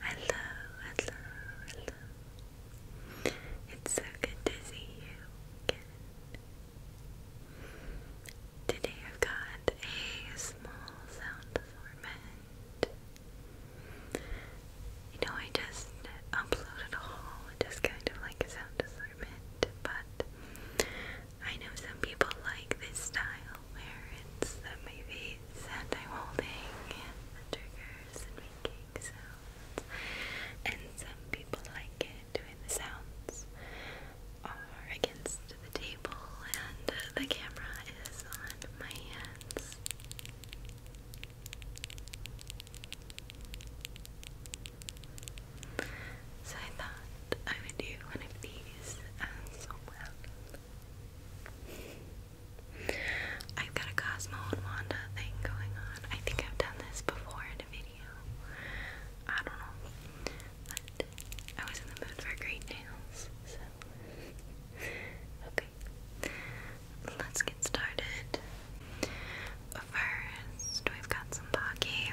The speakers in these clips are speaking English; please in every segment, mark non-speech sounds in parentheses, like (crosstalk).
Hello, hello, hello. It's so good to see you Today I've got a small sound format. You know, I just uploaded a haul, just kind of like a sound assortment, but I know some people like this style where it's the my face and I'm holding and the triggers and making sounds, and some people like it doing the sounds are against the table and the camera is on my hands. So I thought I would do one of these as well. I've got a Cosmo and Wanda thing going on. I think I've done this before in a video. I don't know. I was in the mood for great nails, so okay. Let's get started. First, we've got some Pocky.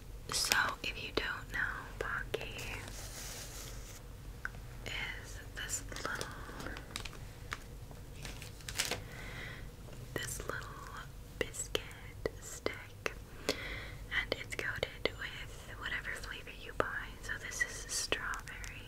So, if you don't know, Pocky is this little, this little biscuit stick, and it's coated with whatever flavor you buy. So, this is strawberry.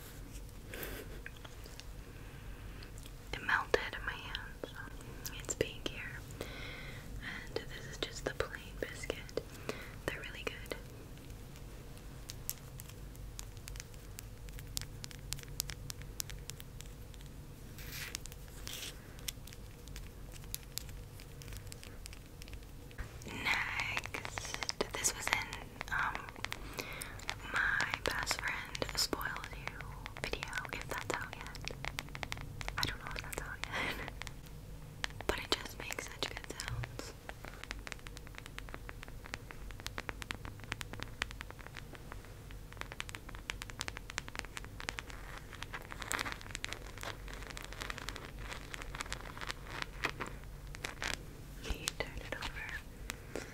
It melted in my hand, So it's pink here. And this is just the plain biscuit. They're really good. Next, this was in um, my best friend spoiled you video, if that's out yet. I don't know if that's out yet. (laughs) but it just makes such good sounds. You turn it over.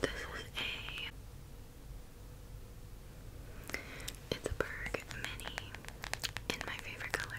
This is a it's Mini in my favorite color.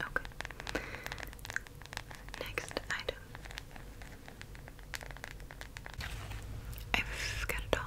Okay. Next item. I've got a dollar.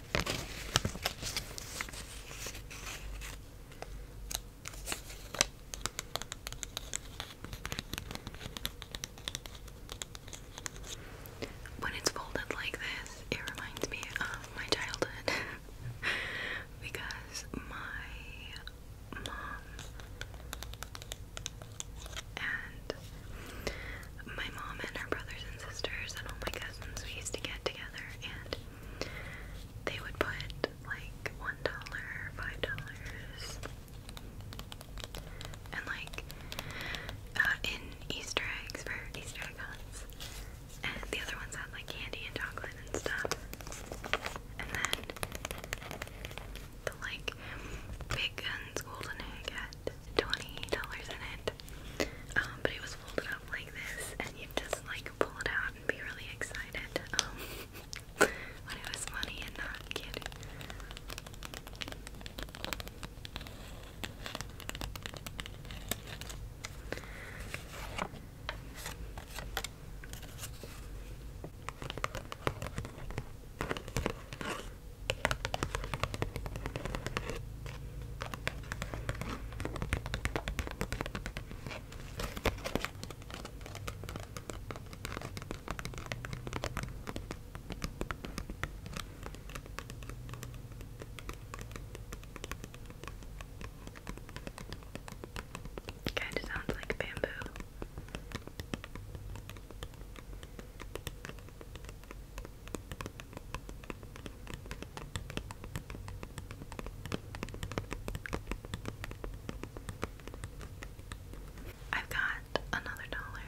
When it's folded like this, it reminds me of my childhood (laughs) because my mom and my mom and her brothers and sisters and all my cousins we used to get together and they would put like one dollar, five dollars and like uh, in Easter eggs for Easter egg hunts. And the other ones had like candy and chocolate and stuff. And then the like big guns golden egg twenty dollars in it. Um, but it was folded up like this, and you just like pull it out and be really excited. Um, (laughs) it was funny and not kid. Kinda sounds like bamboo. I've got another dollar.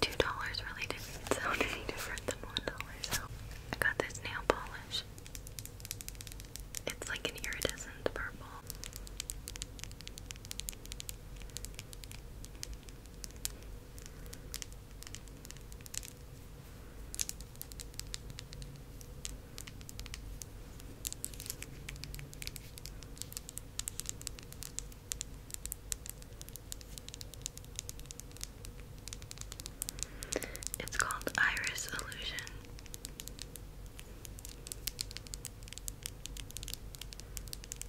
Two dollars really didn't sound any different than one dollar, so I got this nail polish. It's like an iridescent purple. It's called Iris Illusion.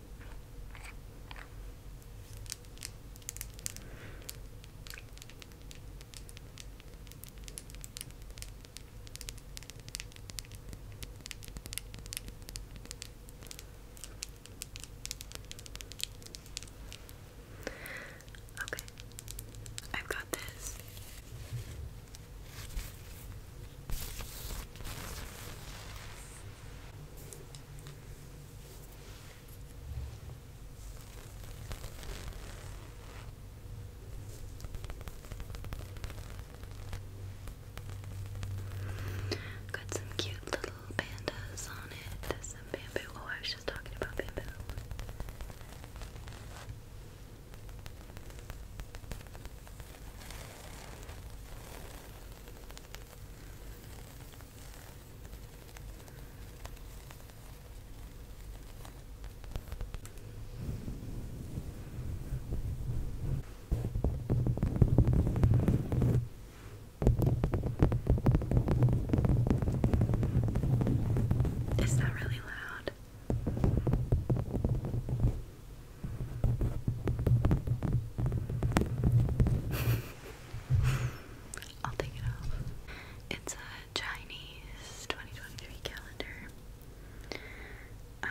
Okay, I've got this. Got some cute little pandas on it. There's some bamboo. Oh, I was just talking about bamboo. Is that really loud? (laughs) I'll take it off. It's a Chinese 2023 calendar. Um,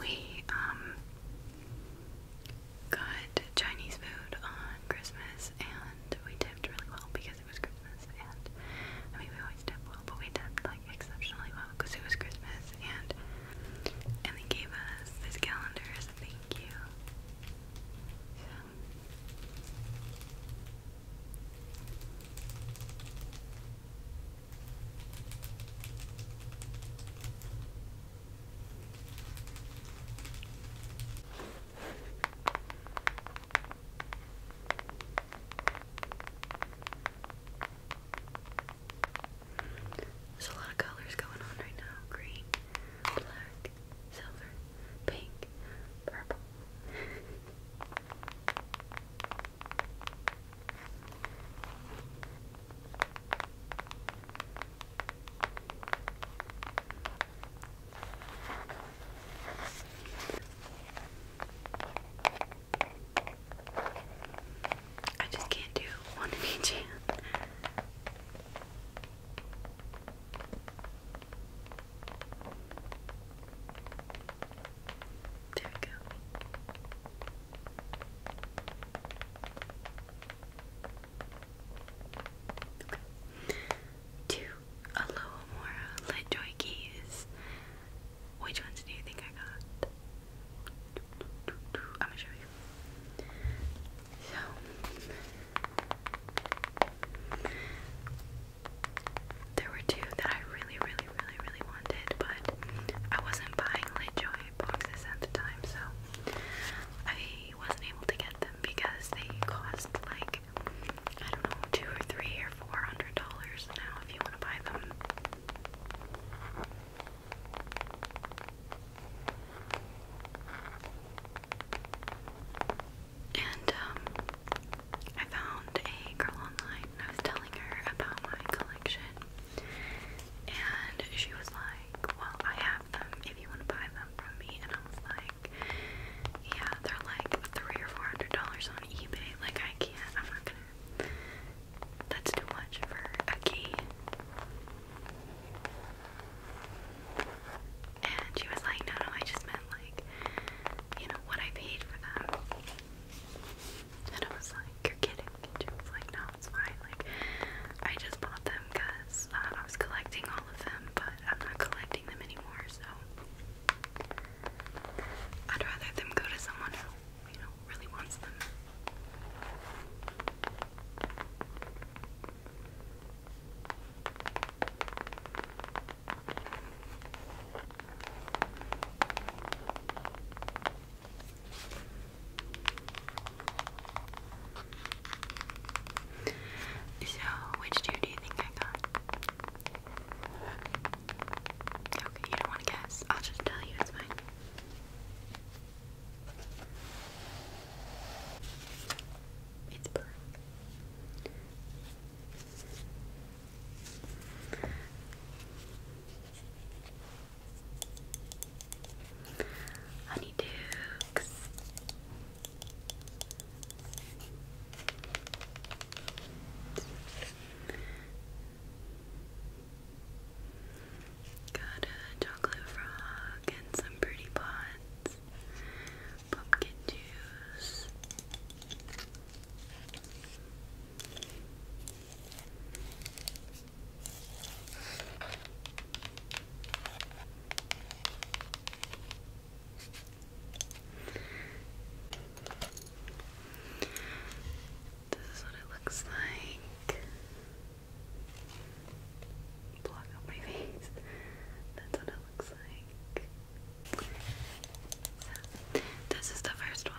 We um got Chinese food on Christmas and we tipped really well because it was Christmas and I mean we always tip well but we tipped like exceptionally well because it was Christmas and and they gave us this calendar as a thank you. There's a lot of colors going on right now green, black, silver, pink, purple. I just can't do one in each hand. There we go. Okay. To Alohomora Let Joy Keys. Which ones do you think I got? I'm gonna show you. So there were two that I really, really, really, really wanted, but I wasn't buying LaJoy boxes at the time, so I wasn't able to get them because they cost like I don't know, two or three or four hundred dollars now if you want to buy them. And um, I found a girl online I was telling her about my collection. And she was like, Well, I have them if you want to buy them from me. And I was like, Yeah, they're like three or four hundred dollars on eBay. Like, I can't, I'm not gonna. That's too much for a key. And she was like, no, no, I just meant like, you know, what I paid for them. And I was like, you're kidding. And she was like, no, it's fine. Like, I just bought them because um, I was collecting all of them, but I'm not collecting them anymore, so I'd rather them go to someone who, you know, really wants them. So, which two do you think I got? Okay, you don't want to guess. I'll just tell you, it's fine. It's black. Honey Dukes. Got a chocolate frog and some pretty pots pumpkin juice. This is what it looks like block out my (laughs) face. That's what it looks like. this is the first one.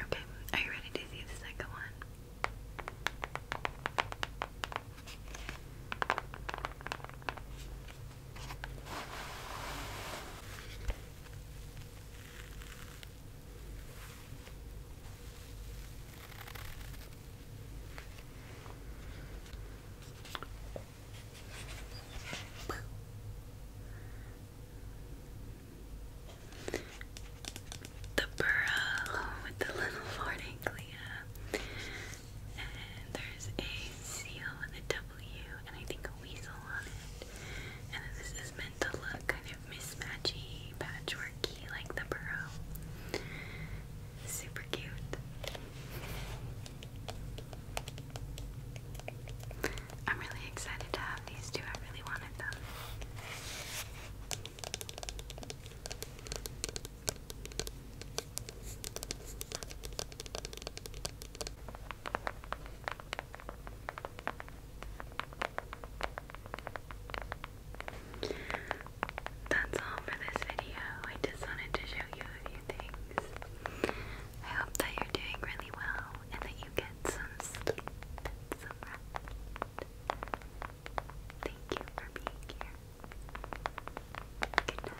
Okay, are you ready to see the second one? the burrow with the little vorticglia. Uh, and there's a seal and a W and I think a weasel on it. And this is meant to look kind of mismatchy, patchworky like the burrow. Super cute. I'm really excited to have these two. I really wanted them. That's all for this video. I just wanted to show you a few things. I hope that you're doing really well and that you get some sleep Thank you for being here. Good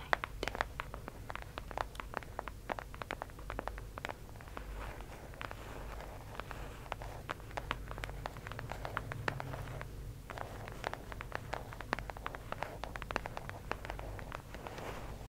night.